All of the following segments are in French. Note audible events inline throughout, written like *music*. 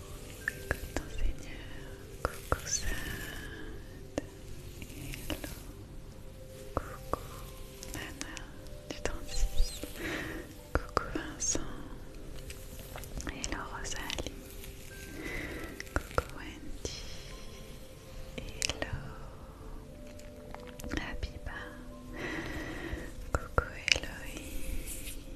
Coucou, ton Seigneur, coucou Sad, hello, coucou Nana du 36, coucou Vincent, hello Rosalie, coucou Wendy, hello Habiba, coucou Eloïse.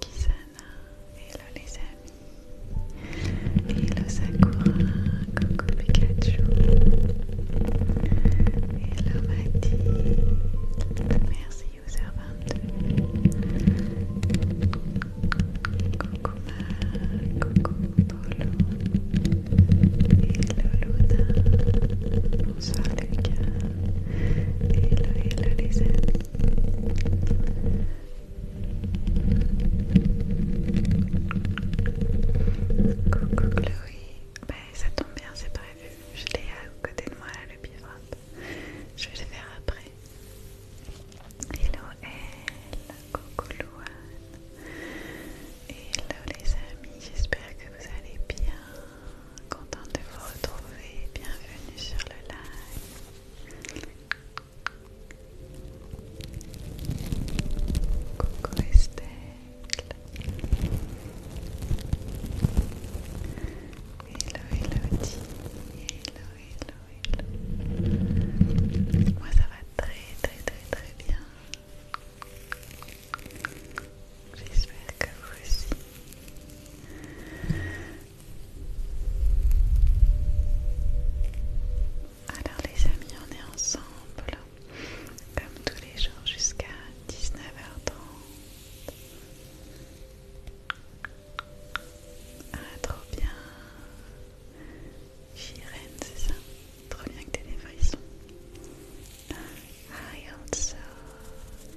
Kisana, hello les amis, hello Sakura, coucou Pikachu, hello Mati, merci user22, coucou Ma, coucou Polo, hello Luna, bonsoir Lucas. Hello, hello les amis. Coucou Chloé. Bah, ça tombe bien, c'est prévu. Je l'ai à côté de moi le bivrap. Je vais le faire après. Hello elle. Coucou Louane. Hello les amis, j'espère que vous allez bien. Content de vous retrouver. Bienvenue sur le live. Coucou Estelle. Hello, hello, Hello, hello, hello. Moi ça va très, très, très, très bien. J'espère que vous aussi. Alors les amis, on est ensemble comme tous les jours jusqu'à 19h30. Ah trop bien Chirène, c'est ça Trop bien que t'aies des frissons. I also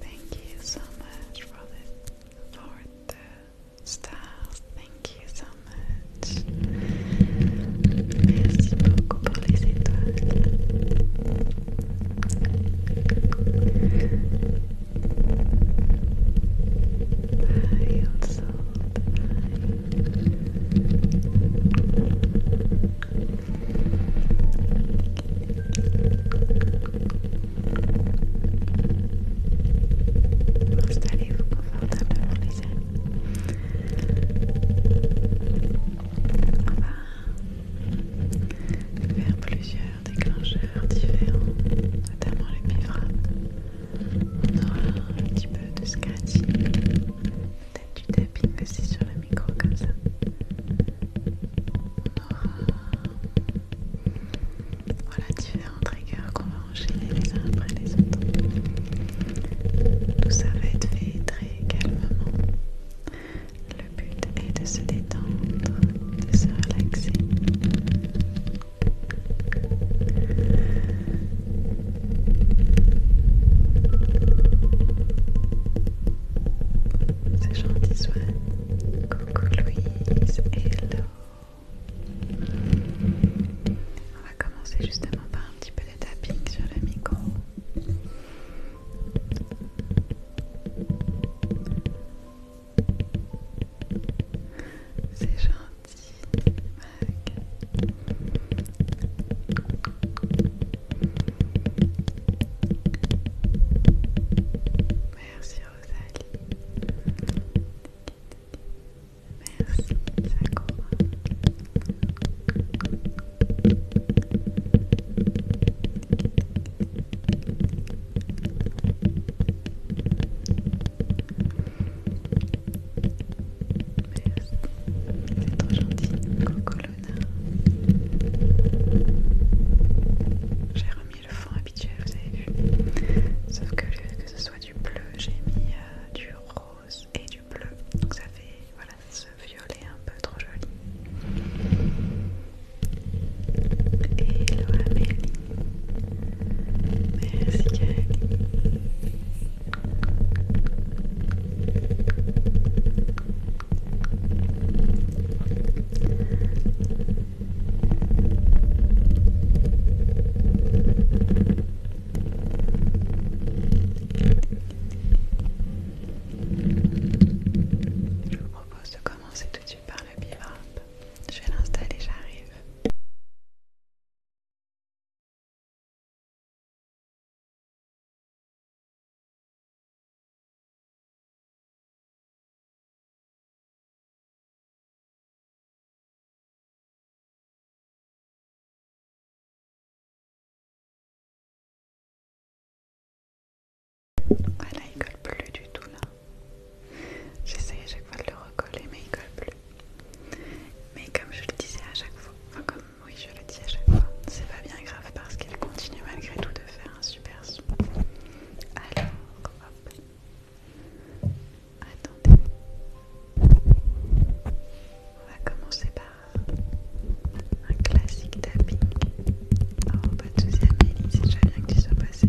thank you so much for the stars. Thank you so much. Merci beaucoup pour les étoiles. I also Installez-vous confortablement les amis. On va faire plusieurs déclencheurs différents, notamment les biframes. On aura un petit peu de scratching, peut-être du tapis aussi sur le micro comme ça. Voilà différents triggers qu'on va enchaîner les uns après les autres. Tout ça va être fait très calmement. Le but est de se détendre, de se relaxer. C'est gentil, Swan. Coucou On va commencer justement par un petit peu de tapping sur le micro. C'est gentil, Merci Rosalie. Merci Sakura. Merci, c'est trop gentil, Coco Luna. J'ai remis le fond habituel, vous avez vu. Sauf que que ce soit du bleu, j'ai mis euh, du rose et du bleu. Donc ça fait voilà, ce violet un peu trop joli. Hello Amélie. Merci je vous propose de commencer tout de suite par le pivot. Je vais l'installer, j'arrive. Voilà, là, il colle plus du tout là. J'essaye à chaque fois de le recoller, mais il colle plus. Mais comme je le disais à chaque fois, enfin comme oui, je le dis à chaque fois, c'est pas bien grave parce qu'il continue malgré tout de faire un super son. On va commencer par un classique tapping. Oh, pas de soucis, Amélie, c'est déjà bien que tu sois passé.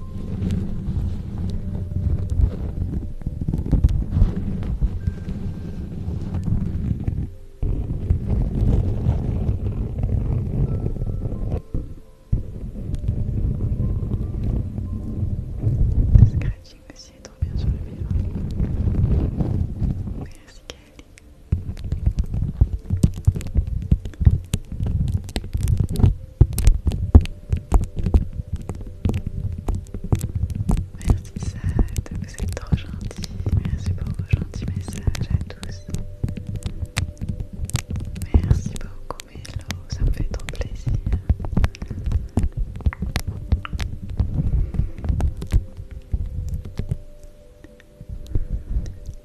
Le scratching aussi est trop bien sur le vivre. Merci Kelly. Merci ça, vous êtes trop gentil. Merci pour vos gentils messages à tous. Merci beaucoup Melo, ça me fait trop plaisir.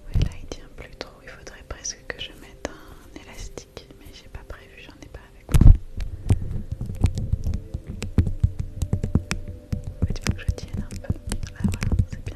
Oui là il tient plus trop, il faudrait presque que je mette un élastique mais j'ai pas prévu, j'en ai pas avec moi. que je tienne un peu. Ah voilà, c'est bien.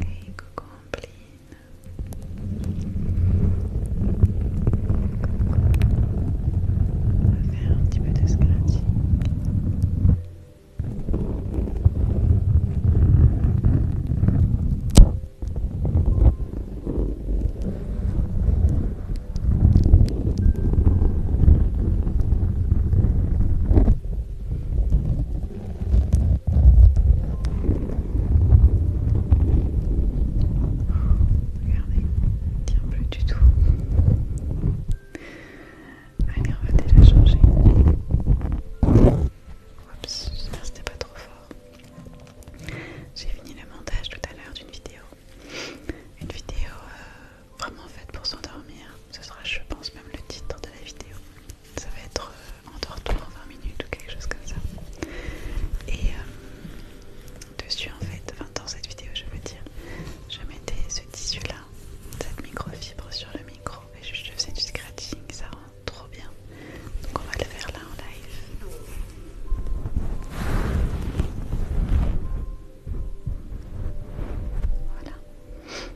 Hey, coucou Ampline. On va faire un petit peu de scratching. Hey, Regardez, il tient plus du tout. Allez, on va déjà changer. Oups, j'espère que c'était pas trop fort. J'ai fini le montage tout à l'heure d'une vidéo. Une vidéo euh, vraiment fait pour s'endormir. Ce sera, je pense, même le titre de la vidéo. Ça va être euh, en 20 minutes ou quelque chose comme ça. Et euh, dessus, en fait, 20 dans cette vidéo, je veux dire, je mettais ce tissu-là, cette microfibre sur le micro, et je, je faisais du scratching, ça rend trop bien. Donc, on va le faire là en live. Voilà.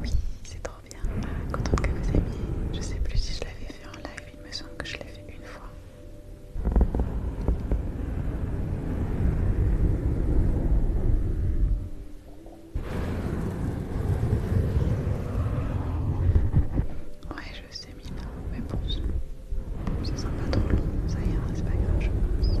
Oui, c'est trop bien. Content contente que vous aimiez. Je sais plus si je l'avais fait en live, il me semble que je l'ai fait une fois. Ouais, je sais, Mina, mais bon, ça sent pas trop long, ça y est, c'est pas grave, je pense.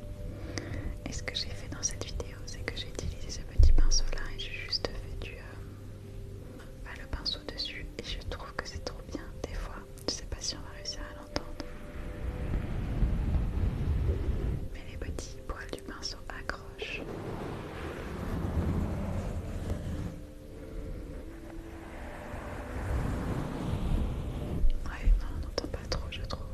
Et ce que j'ai fait dans cette vidéo, c'est que j'ai utilisé ce petit pinceau là et j'ai juste fait du, euh, bah, le pinceau dessus. Et je trouve que c'est trop bien des fois. Je sais pas si on va réussir à l'entendre. Mais les petits poils du pinceau accrochent. Ouais, on n'entend pas trop, je trouve.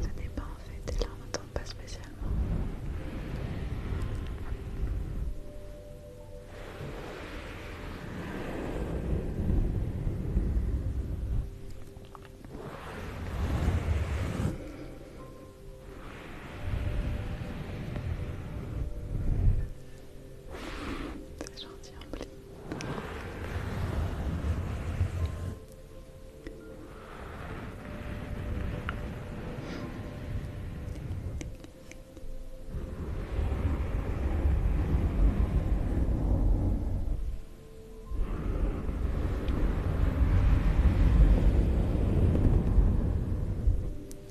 Ça pas en fait, et là on n'entend pas spécialement. C'est gentil,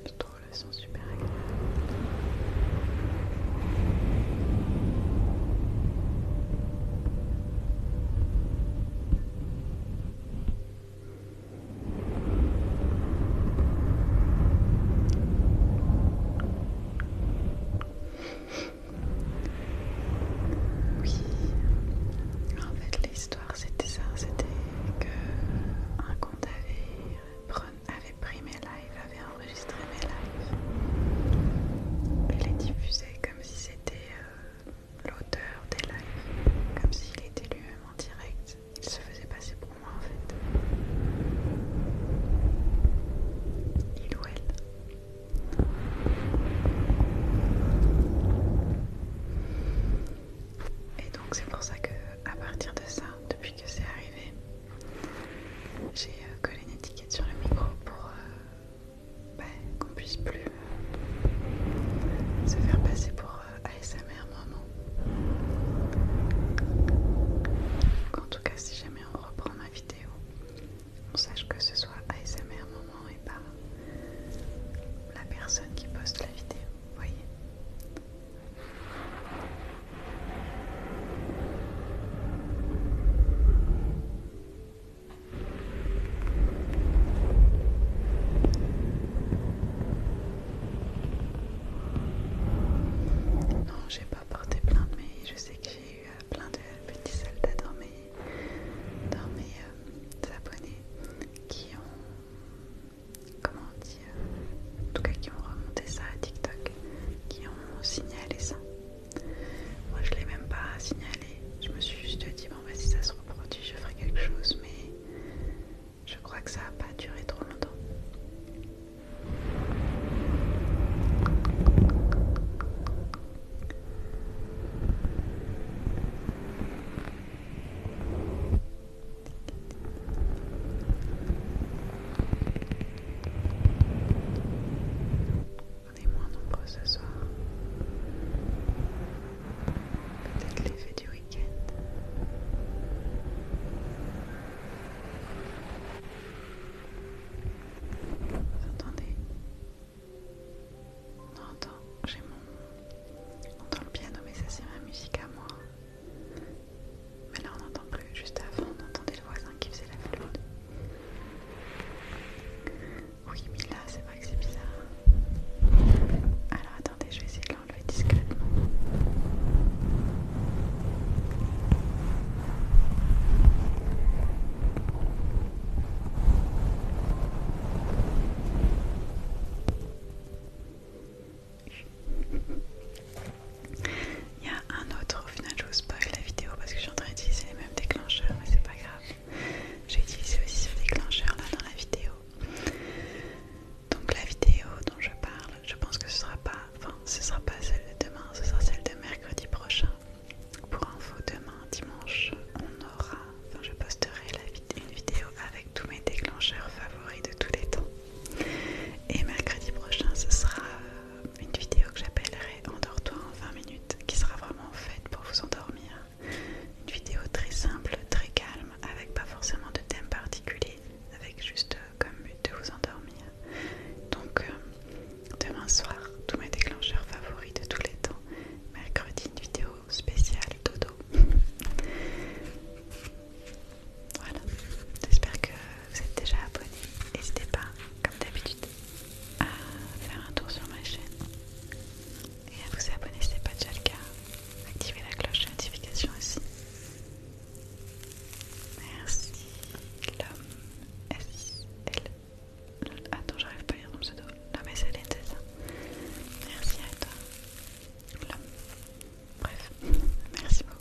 je trouve le son super agréable. Oui. En fait, l'histoire c'était ça, c'était que un compte avait, pris mes lives, avait enregistré mes lives et les diffusait comme si c'était euh, l'auteur des lives, comme s'il était lui-même en direct. Il se faisait passer pour moi en fait. Il ou elle. Et donc c'est pour ça que à partir de ça, depuis que c'est arrivé, j'ai euh, collé une étiquette sur le micro pour euh, bah, qu'on puisse plus euh, se faire passer pour ASMR maman. En tout cas, si jamais on reprend ma vidéo, on sache que ce soit ASMR moment et pas la personne qui poste la vidéo, vous voyez non, j'ai pas porté plainte, mais je sais que plein de petits soldats dans mes, abonnés qui ont, comment dire, en tout cas qui ont remonté ça à TikTok, qui ont signalé ça. Moi je l'ai même pas signalé, je me suis juste dit bon bah si ça se reproduit je ferai quelque chose mais je crois que ça n'a pas duré trop longtemps. On est moins nombreux ce soir. Peut-être l'effet du week-end. Vous entendez non, attends, j'ai mon. On entend le piano, mais ça c'est ma musique à moi. Mais là on n'entend plus, juste avant on entendait le voisin qui faisait la flûte. Oui, mais là c'est vrai que c'est bizarre. Alors attendez, je vais essayer de l'enlever discrètement. Il y a un autre, au final je vous spoil la vidéo parce que je suis en train d'utiliser les mêmes déclencheurs, mais c'est pas grave. J'ai utilisé aussi ce déclencheur là dans la vidéo. Donc la vidéo dont je parle, je pense que ce sera pas, enfin ce sera pas celle de demain, ce sera celle de mercredi prochain. Pour info, demain dimanche, on aura, enfin je posterai une vidéo avec tous mes déclencheurs favoris de tous les temps. Et mercredi prochain, ce sera euh, une vidéo que j'appellerai Endors-toi en 20 minutes, qui sera vraiment faite pour vous endormir. Une vidéo très simple, très calme, avec pas forcément de thème particulier, avec juste euh, comme but de vous endormir. Donc, euh, Demain soir, tous mes déclencheurs favoris de tous les temps. Mercredi, une vidéo spéciale dodo. *laughs* voilà, j'espère que vous êtes déjà abonnés. N'hésitez pas, comme d'habitude, à faire un tour sur ma chaîne et à vous abonner si ce n'est pas déjà le cas. Activez la cloche de notification aussi. Merci, l'homme Attends, j'arrive pas à lire ton pseudo. Non mais c'est ça. Merci à toi. Bref, *laughs* merci beaucoup.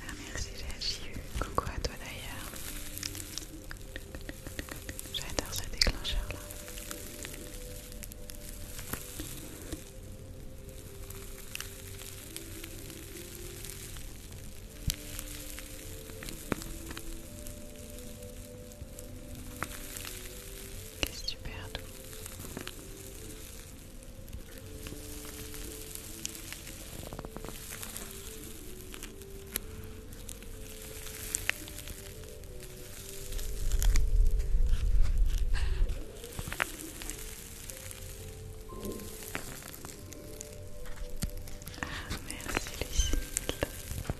Ah, merci j'ai coucou à toi d'ailleurs J'adore ce déclencheur là qui est super doux. Ah, merci Lucille, ça fait plaisir.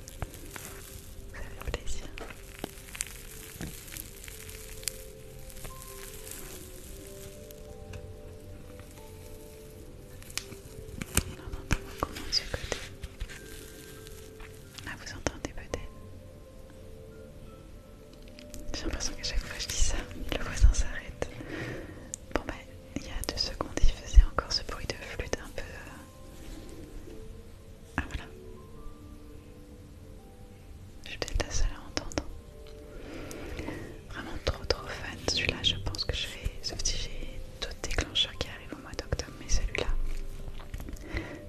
On ah, entend vous entendez peut-être J'ai l'impression qu'à chaque fois que je dis ça, le voisin s'arrête. Bon, bah, il y a deux secondes, il faisait encore ce bruit de flûte un peu. Euh, ah, voilà. Je vais peut-être la seule à entendre. Vraiment trop trop fan. Celui-là, je pense que je vais. Sauf si j'ai d'autres déclencheurs qui arrivent au mois d'octobre, mais celui-là,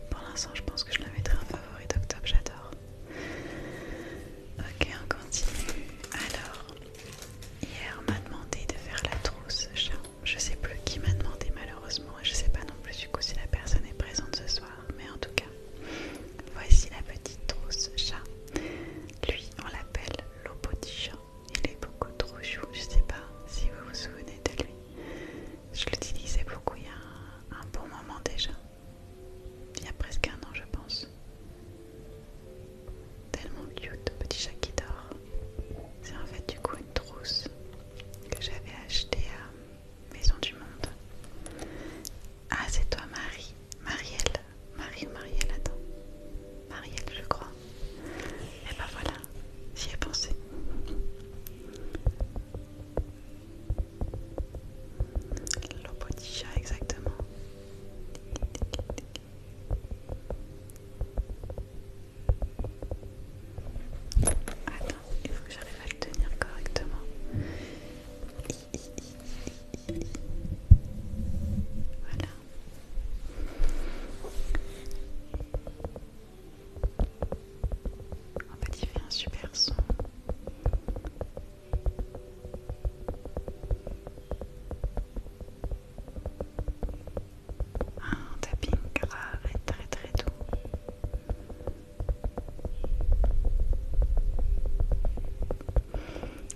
pour l'instant, je pense que je le mettrai un favori d'octobre. J'adore. Ok, on continue. Alors, hier, on m'a demandé de faire la trousse Je sais plus qui m'a demandé malheureusement, et je sais pas non plus du coup si la personne est présente ce soir, mais en tout cas, Voici la petite trousse chat. Lui, on l'appelle petit chat. Il est beaucoup trop chou, je sais pas si vous vous souvenez de lui. Je l'utilisais beaucoup il y a un, bon moment déjà. Il y a presque un an, je pense. Tellement cute, petit chat qui dort. C'est en fait du coup une trousse que j'avais achetée à Maison du Monde. Ah, c'est toi, Marie. Marielle. Marie ou Marielle, attends. Marielle, je crois. Et eh bah ben, voilà, j'y ai pensé. L'opoticha, exactement. Attends, il faut que j'arrive à le tenir correctement. Voilà. En fait, il fait un super son. Un tapping grave et très très doux.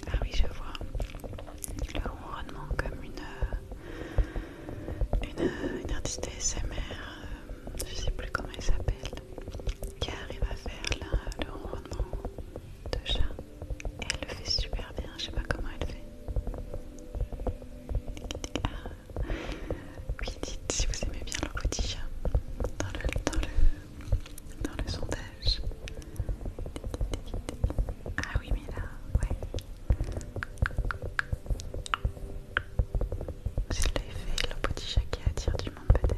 Ah oui, je vois le ronronnement comme une, euh, euh, une, artiste ASMR, euh, je sais plus comment elle s'appelle, qui arrive à faire le ronronnement de chat. Et elle le fait super bien, je sais pas comment elle fait. Ah. Oui, dites si vous aimez bien le petit chat le, dans le dans le sondage. Ah oui, mais là, ouais. C'est l'effet l'opodichat qui attire du monde, peut-être.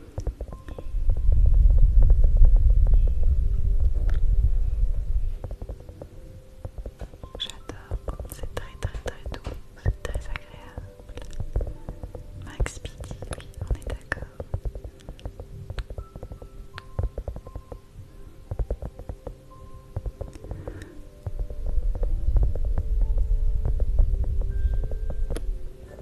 J'adore, c'est très très très doux, c'est très agréable. Max on est d'accord.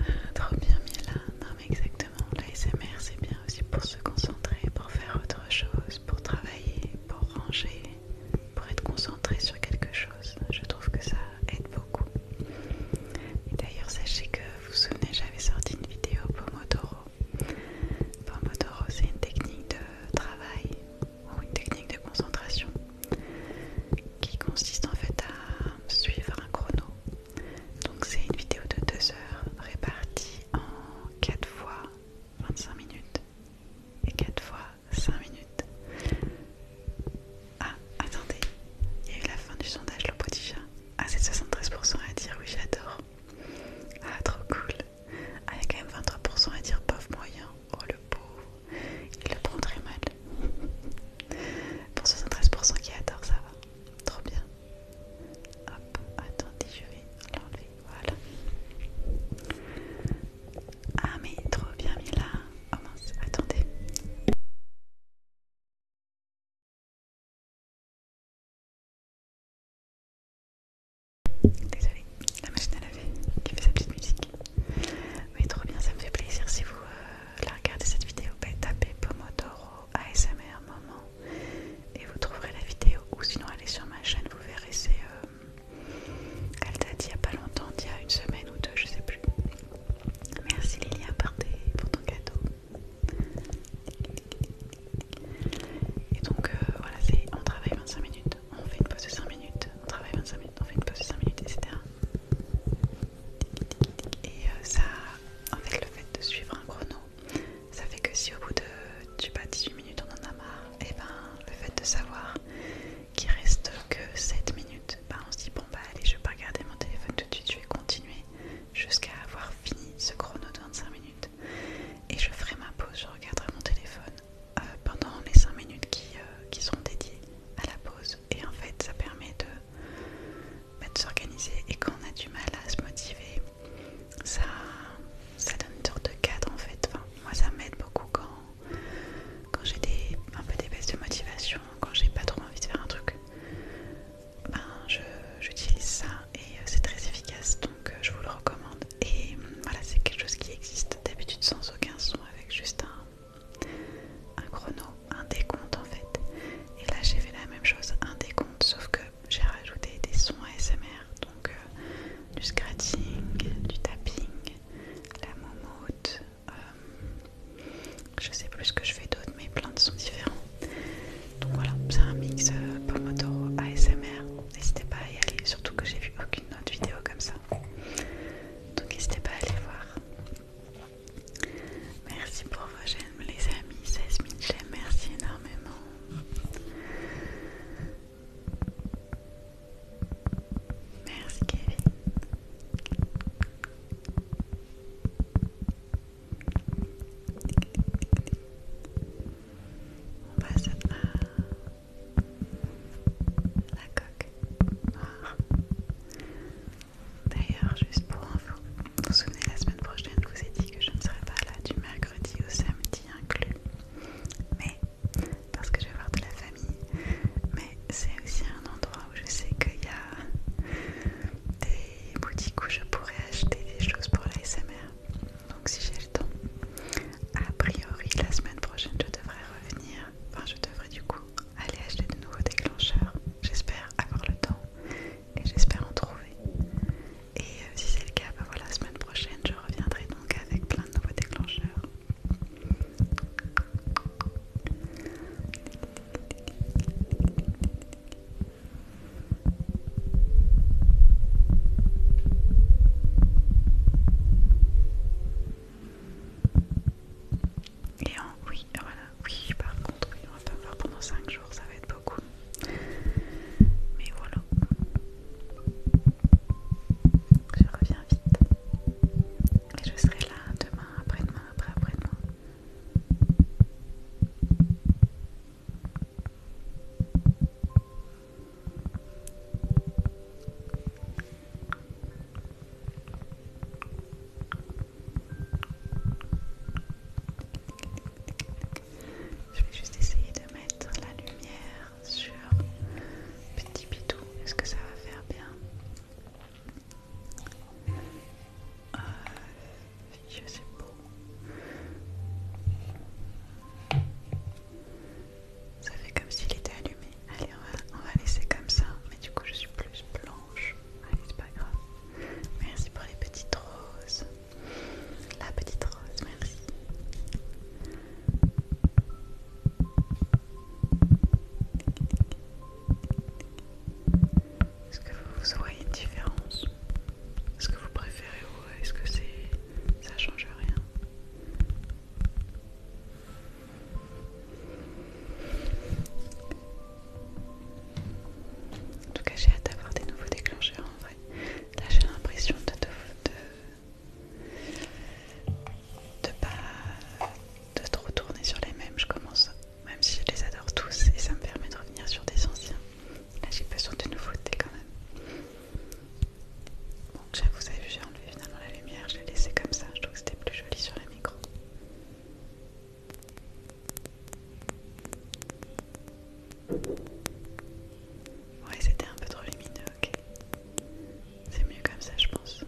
Euh, trop bien, Mila. Non, mais exactement. L'ASMR, c'est bien aussi pour se concentrer, pour faire autre chose, pour travailler, pour ranger, pour être concentré sur quelque chose. Je trouve que ça aide beaucoup. Et d'ailleurs, sachez que vous vous souvenez, j'avais sorti une vidéo Pomodoro. Pomodoro, c'est une technique de travail ou une technique de concentration qui consiste en fait à suivre un chrono. Donc c'est une vidéo de 2 heures répartie en 4 fois 25 minutes et 4 fois 5 minutes. Ah, attendez, il y a eu la fin du sondage le chat. Ah, c'est 73% à dire oui, j'adore. Ah, trop cool. Ah, il y a quand même 23% à dire pauvre moyen. Oh le pauvre, il le prend très mal. *laughs* Pour 73% qui adore, ça va. Trop bien. Hop, attendez, je vais l'enlever. Voilà. Ah mais trop bien mis là. Oh mince, attendez. Désolée, la machine à laver qui fait sa petite musique. Mais trop bien, ça me fait plaisir si vous euh, la regardez cette vidéo. Bah, tapez Pomodoro ASMR moment et vous trouverez la vidéo. Ou sinon, allez sur ma chaîne, vous verrez. C'est euh, elle date il n'y a pas longtemps, il y a une semaine ou deux, je sais plus. Merci Lilia pour ton cadeau. Et donc euh, voilà, on travaille 25 minutes on fait une pause de 5 minutes, on travaille 25 minutes, on fait une pause de 5 minutes, etc. Et euh, ça, en fait, le fait de suivre un chrono, ça fait que si au bout de, tu pas, 18 minutes, on en a marre, et eh ben le fait de savoir qu'il reste que 7 minutes, ben on se dit, bon, bah allez, je vais pas regarder mon téléphone tout de suite, je vais continuer jusqu'à avoir fini ce chrono de 25 minutes. Et je ferai ma pause, je regarderai mon téléphone euh, pendant les 5 minutes qui, euh, sont dédiées à la pause. Et en fait, ça permet de, mettre bah, s'organiser. Et quand on a du mal à se motiver, ça, ça donne une sorte de cadre en fait. moi, ça m'aide beaucoup quand, quand j'ai des, un peu des baisses de motivation, quand j'ai pas trop envie de faire un truc. Ben, J'utilise ça et euh, c'est très efficace donc je vous le recommande. Et voilà, c'est quelque chose qui existe d'habitude sans aucun son, avec juste un, chrono, un décompte en fait. Et là, j'ai fait la même chose, un décompte, sauf que j'ai rajouté des sons ASMR, donc euh, du scratching, du tapping, la momote, euh, je sais plus ce que je fais d'autre, mais plein de sons différents. Donc voilà, c'est un mix euh, Pomodoro ASMR. N'hésitez pas à y aller, surtout que j'ai vu aucune autre vidéo comme ça. Donc n'hésitez pas à aller voir. Merci pour vos j'aime les amis. 16 000 j'aime, merci énormément. Merci Kevin. On passe à... La coque. noire ah. D'ailleurs, juste pour info, vous vous souvenez la semaine prochaine, je vous ai dit que je ne serai pas là du mercredi au samedi inclus. Mais, parce que je vais voir de la famille, mais c'est aussi un endroit où je sais qu'il y a des boutiques où je pourrais acheter des choses pour la SMR. Donc si j'ai le temps, a priori la semaine prochaine je devrais revenir je devrais du coup aller acheter de nouveaux déclencheurs. J'espère avoir le temps et j'espère en trouver. Et euh, si c'est le cas, bah voilà, la semaine prochaine je reviendrai donc avec plein de nouveaux déclencheurs. Et oui, voilà, oui, par contre, oui, on va pas voir pendant 5 jours, ça va être beaucoup. Mais voilà. Je reviens vite. Et je serai là demain, après-demain, après-après-demain. Je vais juste essayer de mettre la lumière sur Petit Pitou. Est-ce que ça va faire bien euh, Je sais ça fait comme s'il était allumé. Allez, on va, laisser comme ça. Mais du coup, je suis plus blanche. Allez, c'est pas grave. Merci pour les petites roses. La petite rose, merci. Est-ce que vous voyez une différence Est-ce que vous préférez ou est-ce que c'est ça change rien en tout cas, j'ai hâte d'avoir des nouveaux déclencheurs en vrai. Là, j'ai l'impression de de, pas de trop tourner sur les mêmes. Je commence, même si je les adore tous, et ça me permet de revenir sur des anciens. Là, j'ai besoin de nouveautés quand même. Donc vous avez vu, j'ai enlevé finalement la lumière, je l'ai laissé comme ça, je trouve que c'était plus joli sur la micro. Ouais, c'était un peu trop lumineux, ok. C'est mieux comme ça, je pense.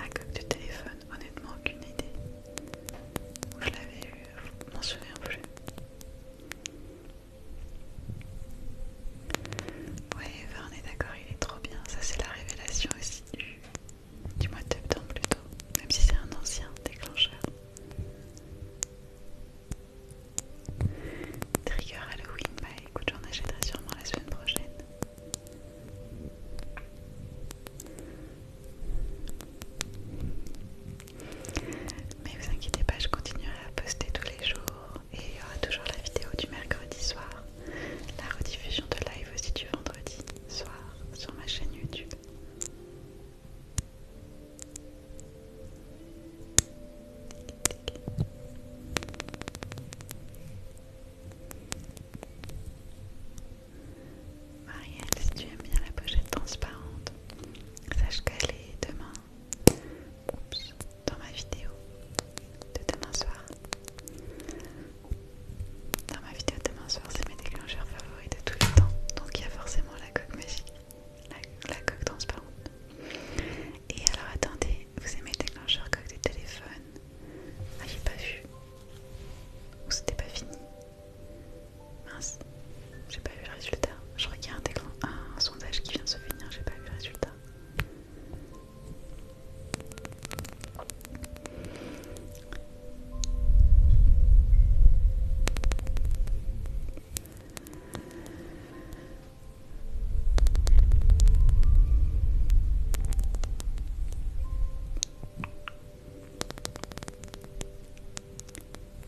La coque du téléphone, honnêtement, aucune idée. je l'avais eu, je m'en souviens plus. Ouais, on est d'accord, il est trop bien. Ça, c'est la révélation aussi du, mois de septembre, plutôt. Même si c'est un ancien déclencheur. Trigger Halloween, bah écoute, j'en achèterai sûrement la semaine prochaine. Mais vous inquiétez pas, je continuerai à poster tous les jours et il y aura toujours la vidéo du mercredi soir, la rediffusion de live aussi du vendredi soir sur ma chaîne YouTube. Marielle, si tu aimes bien la pochette transparente, Sache qu'elle est demain dans ma vidéo de demain soir. Dans ma vidéo de demain soir, c'est mes déclencheurs favoris de tous les temps. Donc il y a forcément la coque magique, la, coque transparente. Et alors attendez, vous aimez le déclencheurs coque de téléphone Vous ah, j'ai pas vu. Ou c'était pas fini Mince, j'ai pas vu le résultat. Je regarde un, un sondage qui vient de se finir, j'ai pas vu le résultat.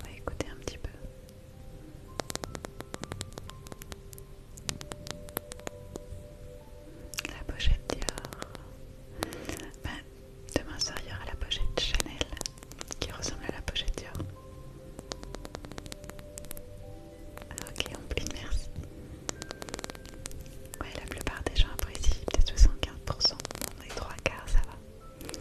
On va écouter un petit peu. La pochette Dior. Ben, demain soir, il y aura la pochette Chanel qui ressemble à la pochette Dior. ok, on plie, merci. Ouais, la plupart des gens apprécient, peut-être 75%. On est trois quarts, ça va.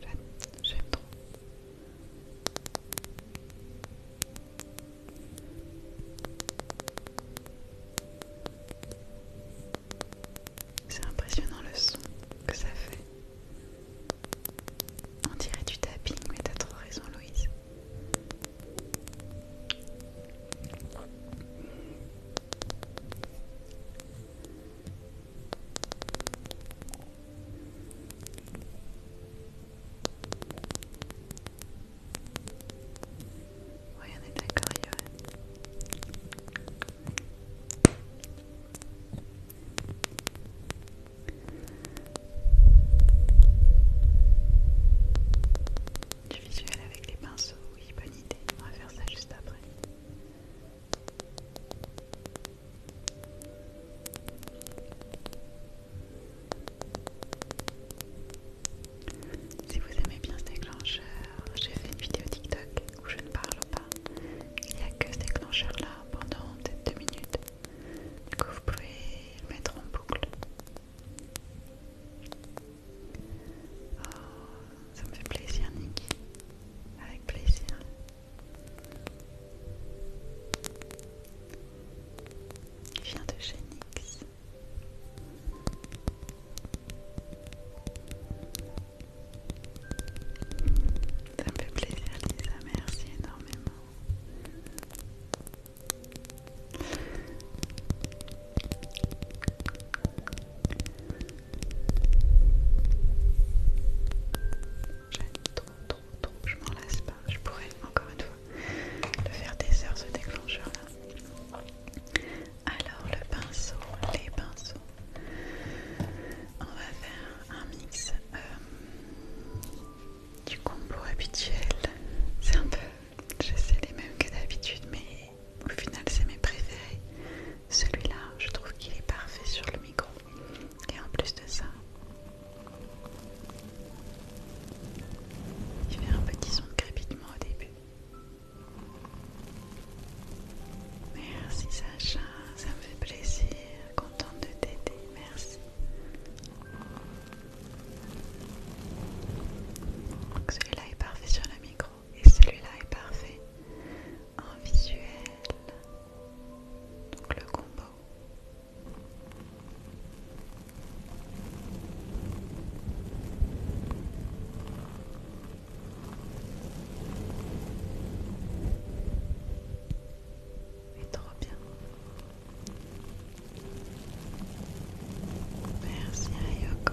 J'aime trop. C'est impressionnant le son que ça fait. On dirait du tapping, mais t'as trop raison, Louise. Du visuel avec les pinceaux, oui, bonne idée. On va faire ça juste après. Si vous aimez bien ce déclencheur, j'ai fait une vidéo TikTok où je ne parle pas. Il n'y a que ce déclencheur là pendant peut-être deux minutes. Du vous pouvez le mettre en boucle. Oh, ça me fait plaisir, Nick. Avec plaisir. Il vient de chez Nix. Ça me fait plaisir, Lisa. Merci énormément. J'aime trop, trop, trop, je m'en lasse pas. Je pourrais encore une fois le faire des heures ce déclencheur là. Alors le pinceau, les pinceaux. On va faire un mix euh, du combo habituel. C'est un peu, je sais les mêmes que d'habitude, mais au final c'est mes préférés. Celui-là, je trouve qu'il est parfait sur le micro. Et en plus de ça, il fait un petit son de crépitement au début. Merci Sacha, ça me fait plaisir, contente de t'aider, merci. Celui-là est parfait sur le micro et celui-là est parfait en visuel, donc le combo. est trop bien. Merci à Yoko.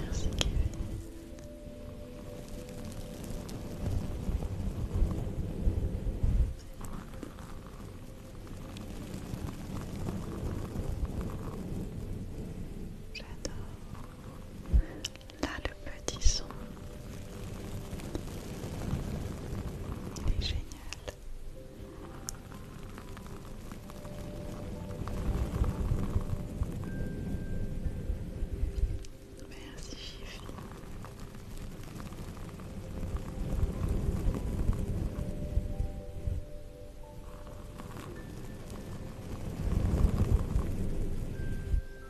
Merci Kevin. J'adore Là, le petit son. Il est génial. Merci, Chiffy.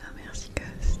Ah merci Ghost.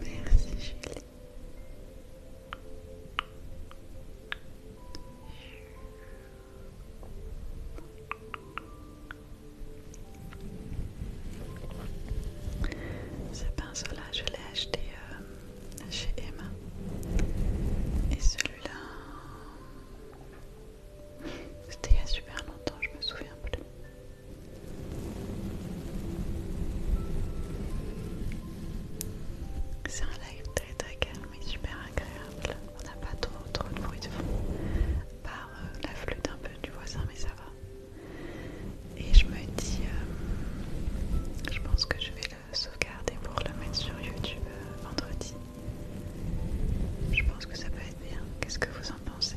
Merci Julie. Ce pinceau-là, je l'ai acheté euh, chez Emma. Et celui-là, c'était il y a super longtemps, je me souviens plus. C'est un live très très calme et super agréable. On n'a pas trop trop de bruit de fond par euh, la flûte un peu du voisin, mais ça va. Et je me dis, euh, je pense que je vais le sauvegarder pour le mettre sur YouTube euh, vendredi. Je pense que ça peut être bien. Qu'est-ce que vous en pensez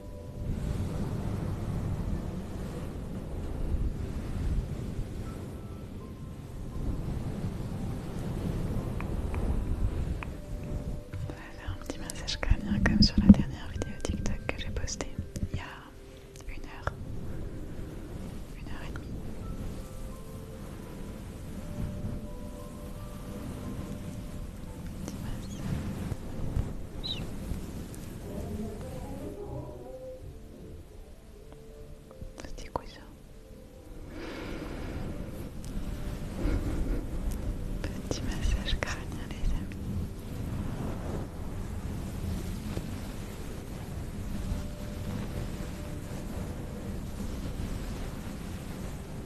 On va faire un petit massage crânien comme sur la dernière vidéo TikTok que j'ai postée il y a une heure, une heure et demie petit massage. Petit coussin Petit massage crânien les amis.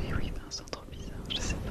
Mais oui, ben, c'est trop bizarre, je sais pas.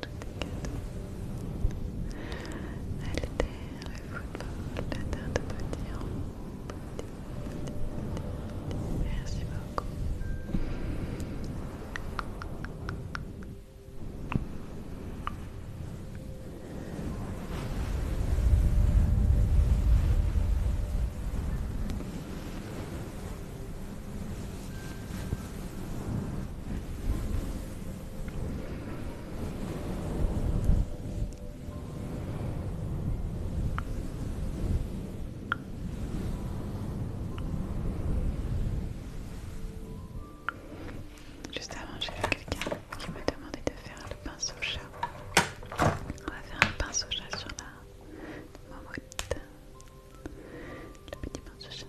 tout est la tarte au potiron. Merci beaucoup. Juste avant, j'ai vu quelqu'un qui m'a demandé de faire le pinceau chat. On va faire un pinceau chat sur la mamouette. Le petit pinceau chat.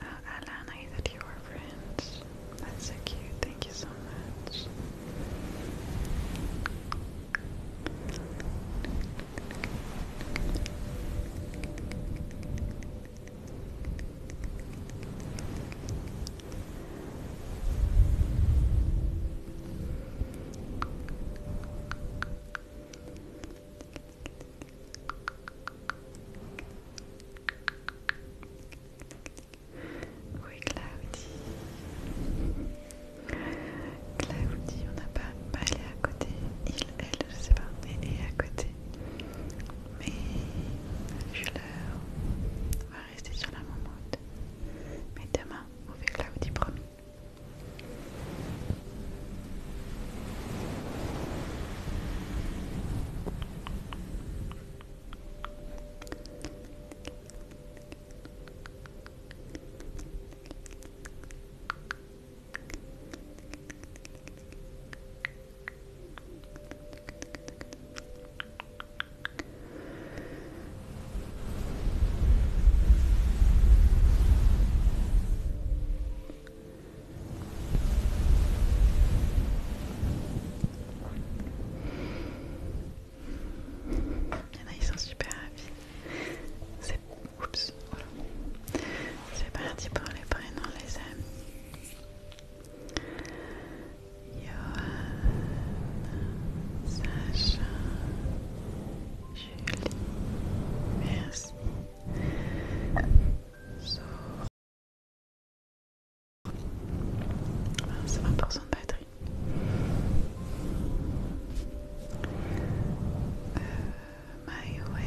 Uh, Alana, that you are friends. That's so cute. Thank you so much. Oui, Claudie. Claudie, on n'a pas mal à côté. Il, elle, je sais pas, mais est à côté. Mais je leur va rester sur la mamotte. Mais demain, vous verrez, là vous promis. Il y en a, ils sont super rapides. C'est voilà. parti pour les prénoms, les amis. Johan, Sacha, Julie, merci. va pour de batterie. Euh, way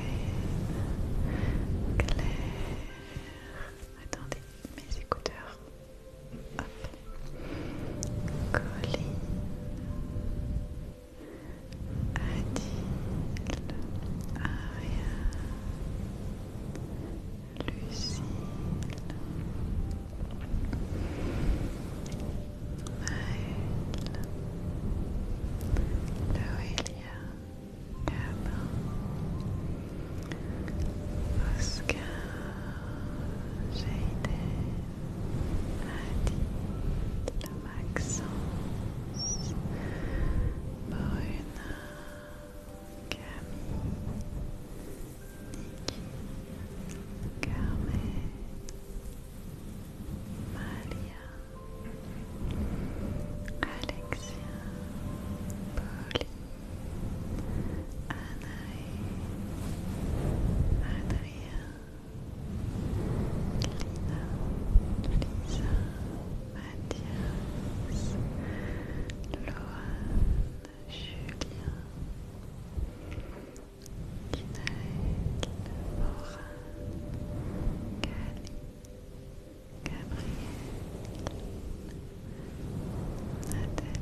Claire. Attendez, mes écouteurs. Hop. Adil Aria, Lucille Maëlle Loelia Gabin Oscar j'ai été Maxence, Bruna, Camille, Niki, Carmen, Malia, Alexia, Pauline, Anaïs, Adrien, Lina, Lisa, Mathias, Lohan, Julien, Dinaël, Laura, Kali, Gabriel, Nathalie,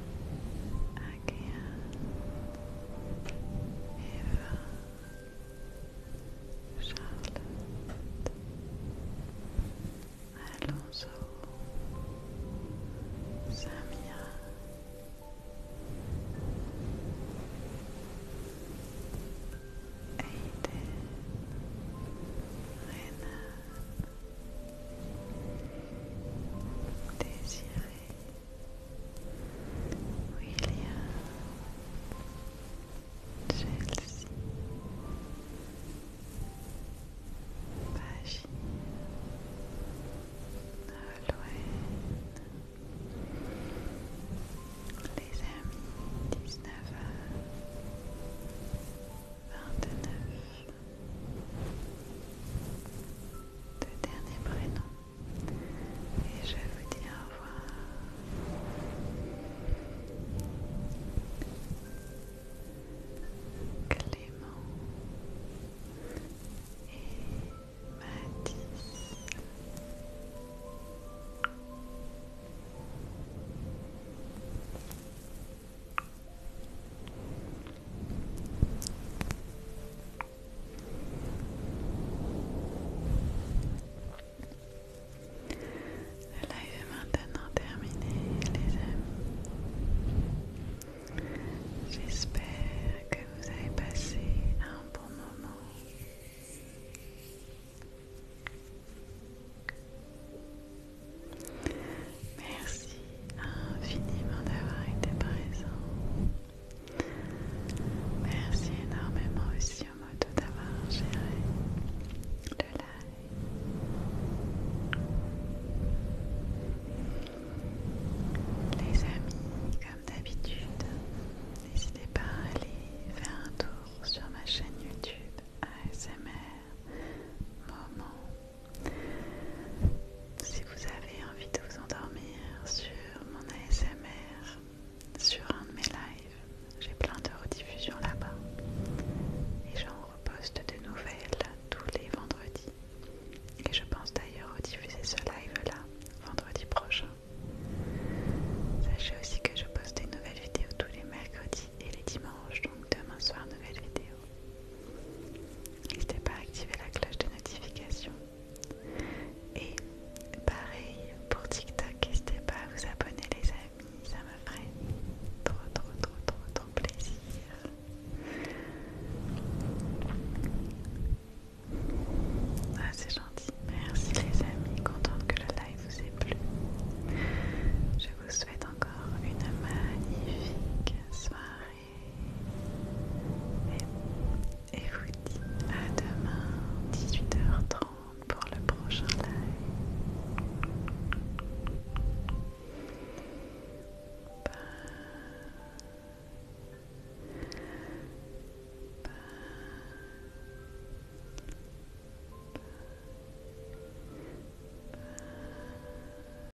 Agathe, Eva, Charlotte, Alonso, Samia. Aiden, Rena Désiré William Chelsea Bachir Nolwenn Les amis 19h 29 deux derniers prénoms et je vous dis au revoir. Clément et Mathis. Le live est maintenant terminé, les amis. J'espère que vous avez passé un bon moment. Merci infiniment d'avoir été présent. Merci énormément aussi au mode d'avoir géré le live. Les amis, comme d'habitude, n'hésitez pas à aller faire un tour sur ma chaîne YouTube ASMR Moment si vous avez envie de vous endormir sur mon ASMR, sur un de mes lives, j'ai plein de rediffusions là-bas. Et j'en reposte de nouvelles tous les vendredis. Et je pense d'ailleurs rediffuser ce live-là vendredi prochain. Sachez aussi que je poste des nouvelles vidéos tous les mercredis et les dimanches, donc demain soir nouvelle vidéo. N'hésitez pas à activer la cloche de notification. Et pareil pour TikTok, n'hésitez pas à vous abonner les amis, ça me ferait trop trop trop trop trop plaisir. Ah c'est gentil, merci les amis, contente que le live vous ait plu. Je vous souhaite encore une magnifique soirée et, vous dis à demain 18h30 pour le prochain live. Bye. Bye. Bye. Bye.